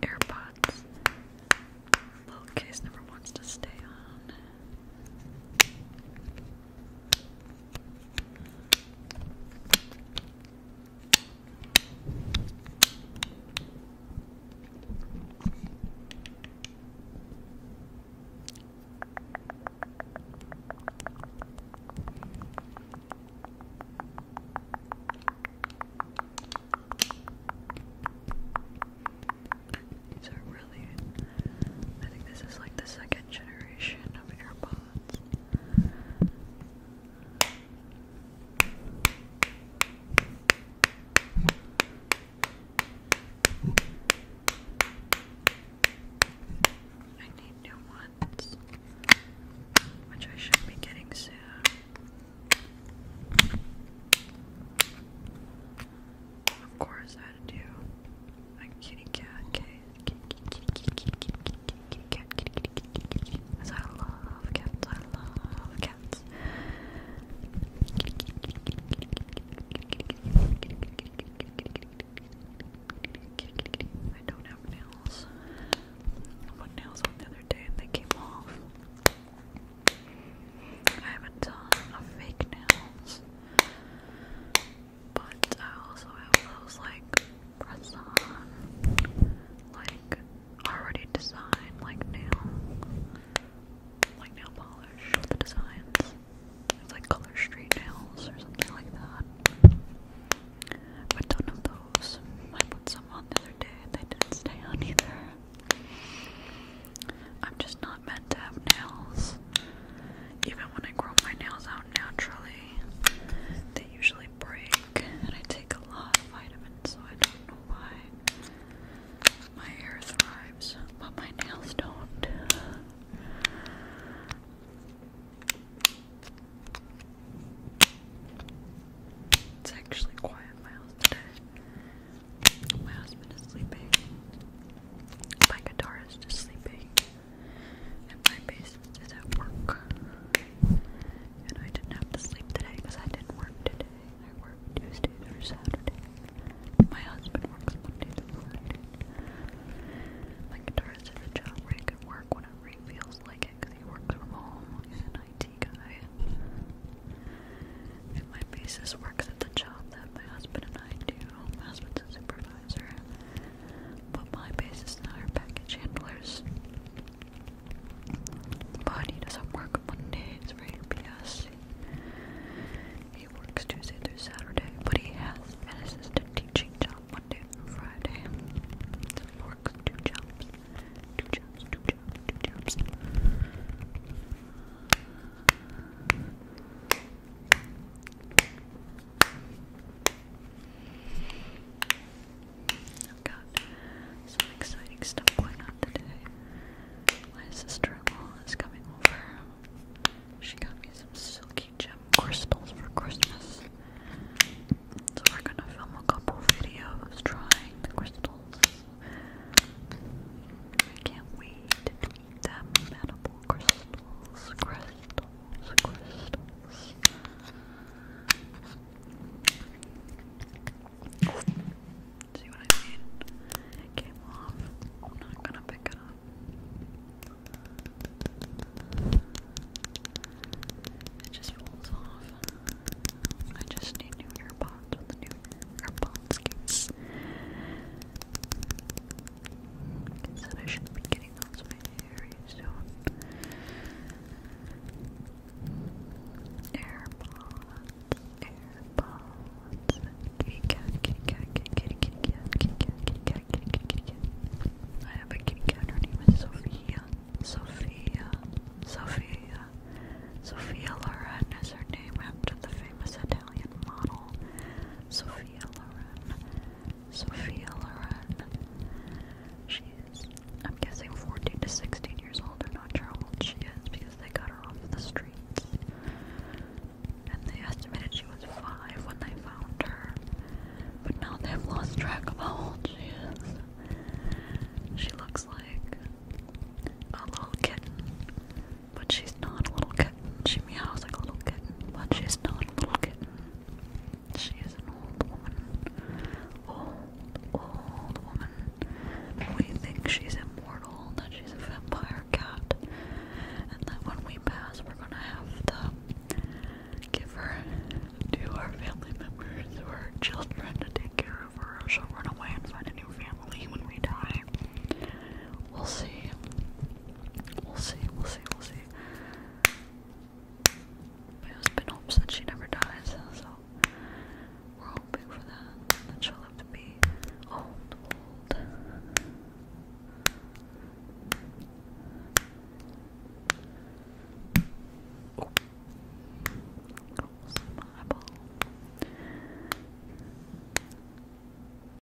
AirPods. Little case never wants to stay on. These are really. I think this is like the second generation of AirPods. I need new ones, which I should be getting soon. Of course, I love cats, I love cats. I don't have nails. I put nails on the other day and they came off. I have a of fake nails. But I also have those like press on, like already designed, like nail, like nail polish with the designs. It's like color street nails or something like that. But none of those. I put some on the other day and they didn't stay on either. I'm just not meant to have nails even when I grow my nails out naturally, they usually break. And I take a lot of vitamins, so I don't know why my hair thrives, but my nails don't. It's actually quiet in my house today. My husband is sleeping. My guitarist is sleeping at my basis is at work. And I didn't have to sleep today because I didn't work today. I worked Tuesday through Saturday. My husband works Monday through Friday. My guitarist job where he work whenever he feels like it because he works from home. He's an IT guy. And my bassist works at the job that my husband and I do. My husband's a supervisor. But my base is now our package handlers. But he doesn't work Mondays for APS. He works Tuesday through Saturday, but he has an assistant teaching job Monday through Friday. So he two jobs. Two jobs, two jobs, two jobs i got some exciting stuff going on today. My sister-in-law is coming over. She got me some silky gem crystals for Christmas. So we're gonna film a couple videos trying the crystals. I can't wait damnable crystals, crystals, crystals. See what I mean? It came off. I'm not gonna pick it up. It just rolls off. I just need new earbuds with the new earbuds case. I should be getting those very soon. AirPods, AirPods, kitty cat, kitty cat, kitty kitty kitty cat, kitty cat, kitty cat, kitty cat, kitty I have a kitty cat. Her name is Sophia. Sophia, Sophia, Sophia Loren is her name after the famous Italian model Sophia Loren. Sophia Loren. She's, I'm guessing, 14 to 16 years old. I'm not sure how old she is because they got her off the streets. And they estimated she was 5 when they found her. But now they've lost track of how old she is. She looks like a little kitten. But she's not a little kitten. She meows like a little kitten, but she's not a little kitten. She is an old woman. Old, old woman. We think she's immortal, that she's a vampire cat, and that when we pass, we're gonna have to give her to our family members or our children to take care of her, or she'll run away and find a new family when we die. We'll see. We'll see, we'll see, we'll see. My husband hopes that she never dies, so we're hoping for that. That she'll live to be old, old. Oh. Almost my eyeball.